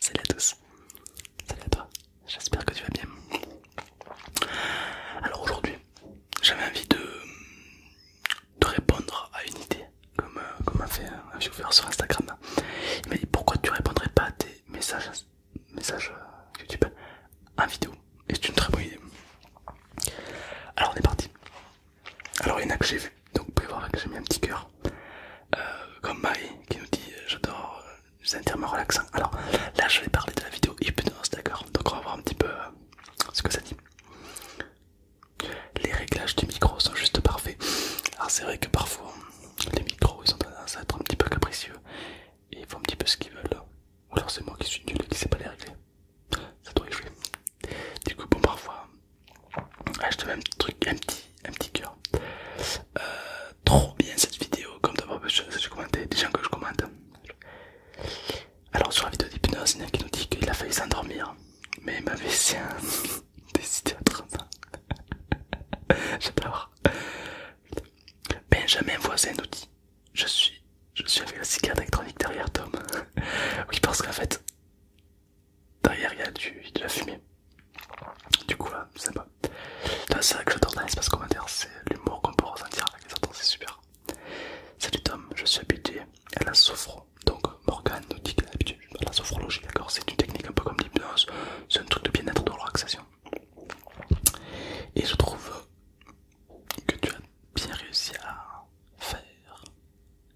Salut à tous, salut à toi, j'espère que tu vas bien. Alors aujourd'hui, j'avais envie de, répondre à une idée, comme, comme fait un sur Instagram. Il m'a dit pourquoi tu répondrais pas à tes messages, messages euh, YouTube en vidéo, et c'est une très bonne idée. Alors on est parti. Alors il y en a que j'ai vu donc vous pouvez voir que j'ai mis un petit cœur. Euh, comme Marie qui nous dit euh, j'adore les euh, intermédiaires relaxants. Alors là je vais parler de la vidéo hypnose, d'accord Donc on va voir un petit peu ce que ça dit. Les réglages du micro sont juste parfaits. Alors c'est vrai que parfois les micros ils ont tendance à être un petit peu capricieux et ils font un petit peu ce qu'ils veulent. Ou alors c'est moi qui suis nul et qui sais pas les régler. Ça doit y jouer. Du coup bon parfois ah, je te un petit truc, un petit, un petit cœur. Euh, trop bien cette vidéo, comme d'abord, des gens que je commente. Alors, sur la vidéo d'hypnose, il y en a qui nous dit qu'il a failli s'endormir, mais il m'avait décidé à 30 ans. J'adore. Benjamin Voisin nous dit Je suis, je suis avec la cigarette électronique derrière Tom. oui, parce qu'en fait, derrière il y a de la fumée. Du coup, euh, c'est sympa. C'est vrai que j'adore dans l'espace commentaire, c'est l'humour qu'on peut ressentir avec les c'est super. Salut Tom, je suis habitué à la sophro. Donc Morgan nous dit qu'elle est à la sophrologie, d'accord C'est une technique un peu comme l'hypnose, c'est un truc de bien-être, de relaxation. Et je trouve que tu as bien réussi à faire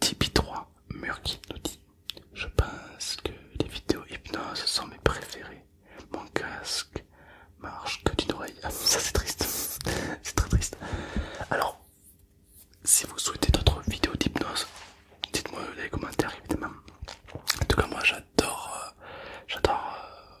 Tipeee3 Murky nous dit Je pense que les vidéos hypnose sont mes préférées. Mon casque marche que d'une oreille. Ah, ça c'est triste. c'est très triste. Alors, si vous souhaitez d'autres vidéos d'hypnose, dites-moi dans les commentaires évidemment. En tout cas, moi j'adore. Euh, j'adore. Euh,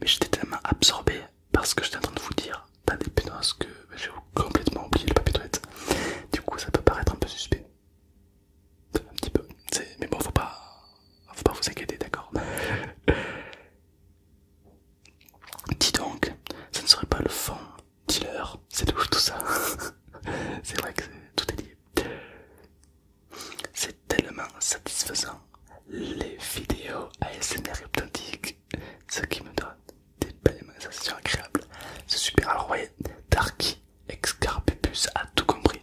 mais j'étais tellement absorbé parce que j'étais en train de vous dire dans des que j'ai complètement oublié le papier toilette. Du coup, ça peut paraître un peu suspect. Un petit peu, mais bon, faut pas, faut pas vous inquiéter, d'accord Dis donc, ça ne serait pas le fond, dealer, c'est tout, tout ça. c'est vrai que tout est lié. C'est tellement satisfaisant les vidéos ASMR authentique, ce qui me donne des belles sensations agréables. C'est super. Alors, vous voyez, Darky Excarpupus a tout compris.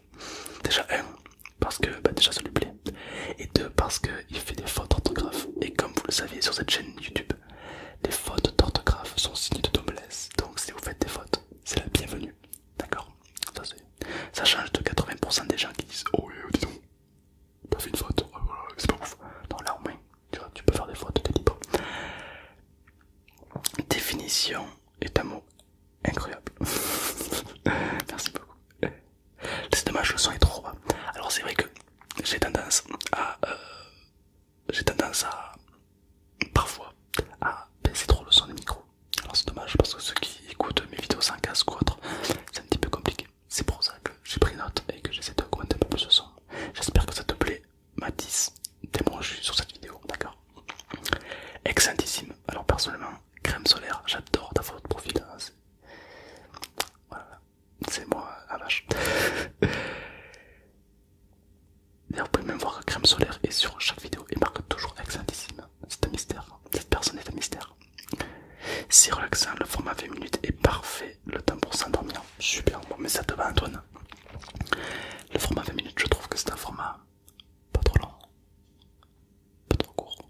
Déjà, un, parce que bah, déjà ça lui plaît, et deux, parce qu'il fait des fautes d'orthographe. Et comme vous le savez, sur cette chaîne YouTube, les fautes d'orthographe sont signes de noblesse. Donc, si vous faites des fautes, c'est la bienvenue. D'accord ça, change de 80% des gens qui disent Oh, oui euh, dis donc, t'as fait une faute, ah, c'est pas ouf. Non, là au moins, tu, peux faire des fautes, de libre. Définition est un mot incroyable. Merci beaucoup. C'est dommage, le son est trop bas. Alors, c'est vrai que j'ai tendance à. Euh, j'ai tendance à. Parfois à baisser trop le son du micro. Alors c'est dommage parce que ceux qui écoutent mes vidéos sans casque ou autre, c'est un petit peu compliqué. C'est pour ça que j'ai pris note et que j'essaie d'augmenter un peu plus ce son. J'espère que ça te plaît, Mathis, jus sur cette vidéo, d'accord Excellentissime. Alors personnellement, crème solaire, j'adore D'avoir photo de profil. Hein, voilà, c'est moi la vache. D'ailleurs, vous pouvez même voir que crème solaire est sur chaque vidéo et marque toujours excellentissime C'est un mystère. Cette personne est un mystère. C'est relaxant, le format 20 minutes est parfait. Le temps pour s'endormir. Super, bon, mais ça te va, Antoine. Le format 20 minutes, je trouve que c'est un format pas trop long, pas trop court.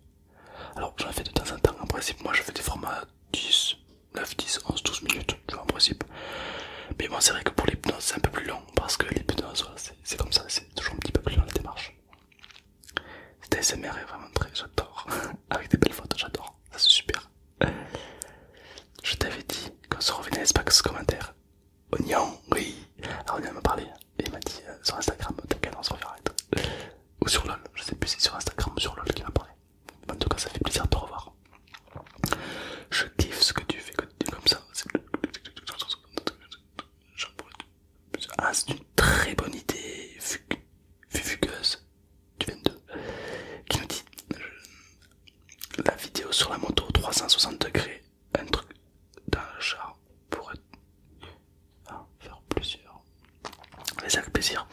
Alors, j'en fais de temps en temps. En principe, moi je fais des formats 10, 9, 10, 11, 12 minutes, en principe. Mais bon, c'est vrai que pour l'hypnose, c'est un peu plus long parce que l'hypnose, c'est comme ça, c'est toujours un petit peu plus dans la démarche. C'était ASMR est vraiment très, j'adore, avec des belles photos, j'adore, ça c'est super. Je t'avais dit qu'on se revenait à ce commentaire. Oignon, oui. Alors Oignon m'a parlé il m'a dit euh, sur Instagram, t'inquiète, on se reverra. Ou sur LOL, je sais plus si c'est sur Instagram ou sur LOL qu'il m'a parlé. En tout cas, ça fait plaisir de te revoir. Je kiffe ce que tu fais comme ça. Ah, c'est une très bonne idée, Fugueuse qui nous dit euh, la vidéo sur la moto 360 degrés, un truc d'un char pour ah, faire plusieurs. ça avec plaisir.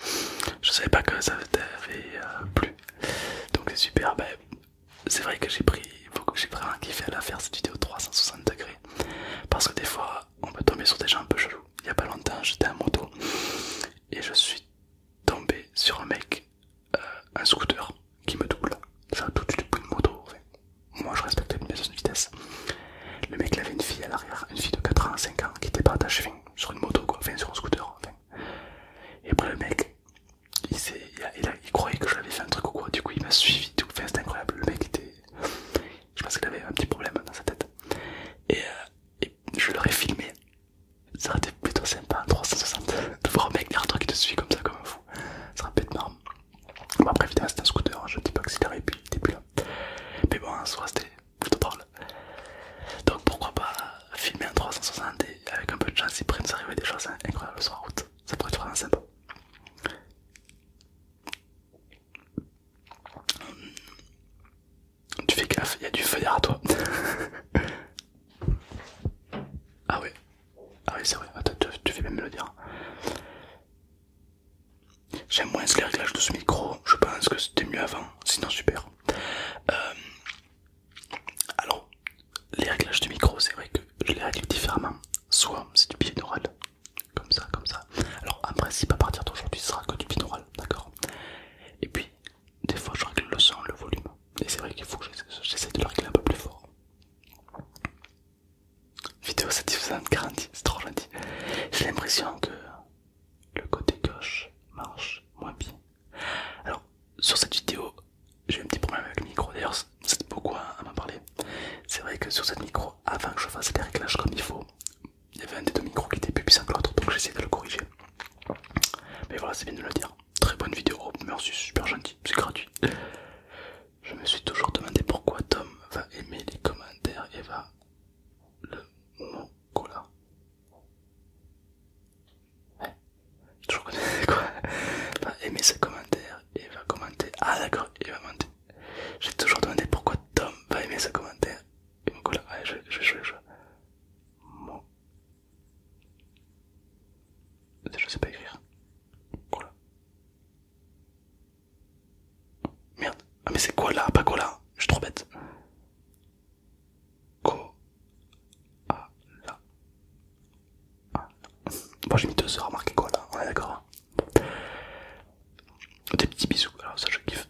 Je savais pas que ça t'avait euh, plu, donc c'est super. Ben, c'est vrai que j'ai pris beaucoup, j'ai vraiment kiffé à la faire cette vidéo 360 degrés parce que des fois on peut tomber sur des gens un peu chelous. Il y a pas longtemps, j'étais en moto et je suis tombé sur un mec, euh, un scooter qui me double. un tout de suite une moto. moi je respecte une de vitesse. Le mec il avait une fille à l'arrière, une fille de 4 ans, 5 ans qui était pas attachée sur une moto quoi, enfin sur un scooter. Et après le mec, il, il, croyait que j'avais fait un truc ou quoi, du coup il m'a suivi, tout. fait c'était incroyable, le mec était... Je pense qu'il avait un petit problème dans sa tête. Et, euh, je l'aurais filmé. Ça aurait été plutôt sympa, 360, de voir un mec un toi qui te suit comme ça, comme un fou. Ça aurait pu être marrant. Bon, après, évidemment, c'était un scooter, hein. je ne dis pas que puis il était plus Mais bon, ça aurait c'était plutôt drôle. Donc pourquoi pas filmer en 360 et avec un peu de chance, il pourrait nous arriver des choses hein. incroyables sur la route. Ça pourrait être vraiment sympa. Hmm. Tu fais gaffe, il y a du feu à toi. ah ouais, ah oui c'est vrai, Attends, tu, fais même le dire. J'aime moins les réglages de ce micro, je pense que c'était mieux avant, sinon super. Euh, alors, les réglages du micro, c'est vrai que je les règle différemment. Soit c'est du pied binaural, comme ça, comme ça. Alors, en principe, à partir d'aujourd'hui, ce sera que du binaural, d'accord Et puis, des fois, je règle le son, le volume. Et c'est vrai qu'il faut que j'essaie de le régler un peu plus fort. Vidéo satisfaisante, garantie, c'est trop gentil. J'ai l'impression que le côté gauche marche moins bien. Alors sur cette vidéo, j'ai eu un petit problème avec le micro, d'ailleurs c'est beaucoup à m'en parler. C'est vrai que sur cette micro, avant que je fasse les réglages comme il faut, il y avait un des deux micros qui était plus puissant que l'autre, donc j'ai essayé de le corriger. Mais voilà, c'est bien de le dire. Très bonne vidéo, merci, super gentil, c'est gratuit. Je me suis toujours demandé pourquoi Tom va aimer les commentaires et va le Cola. Ouais. Toujours connais quoi Va aimer ses commentaires et va commenter. Ah d'accord, il va monter. J'ai toujours demandé pourquoi Tom va aimer ses commentaires. Et mon cola, ouais, je je joue je. Mon... Je sais pas écrire. Cola. Merde. Ah mais c'est quoi là Pas quoi hein. là Je suis trop bête. Ko... Ah là. Bon j'ai mis deux heures à marquer quoi hein. là, on est d'accord. Hein. Des petits bisous, alors ça je kiffe.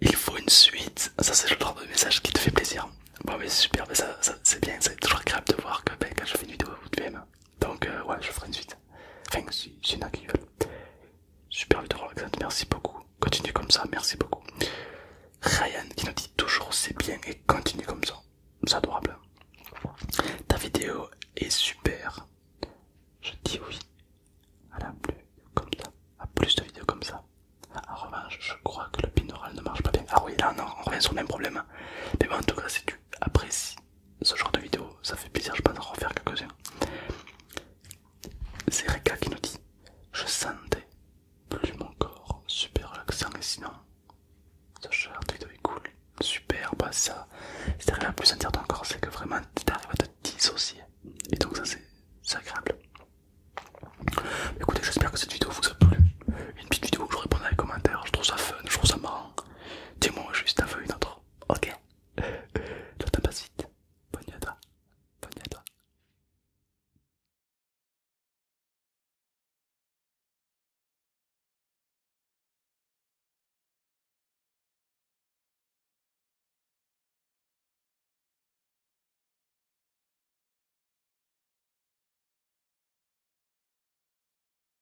Il faut une suite, ça c'est le genre de message qui te fait plaisir. Bon mais super, mais ça, c'est bien, c'est toujours agréable de voir que ben, quand je fais une vidéo vous devez me. Donc voilà, euh, ouais je ferai une suite. Enfin si si y en qui Super vidéo Alexandre, merci beaucoup. Continue comme ça, merci beaucoup. Ryan qui nous dit toujours c'est bien et continue comme ça. C'est adorable. Ta vidéo est super. Je dis oui. À la plus comme ça. À plus de vidéos comme ça. Ah, en revanche, je crois que le binaural ne marche pas bien. Ah oui, là non, on revient sur le même problème. Mais bon, en tout cas, c'est après, si ce genre de vidéo, ça fait plaisir, je pense en refaire quelques-unes. C'est Reka qui nous dit Je sentais plus mon corps super relaxant et sinon, ce genre de vidéo est cool, super, bah ça, si t'arrives à plus sentir ton corps, c'est que vraiment t'arrives à te dissocier et donc ça c'est agréable. Écoutez, j'espère que cette vidéo vous a plu. Une petite vidéo où je réponds dans les commentaires, je trouve ça fun, je trouve ça marrant. Dis-moi juste, un vu une autre ok. Tout à passe vite. Bonne Bonne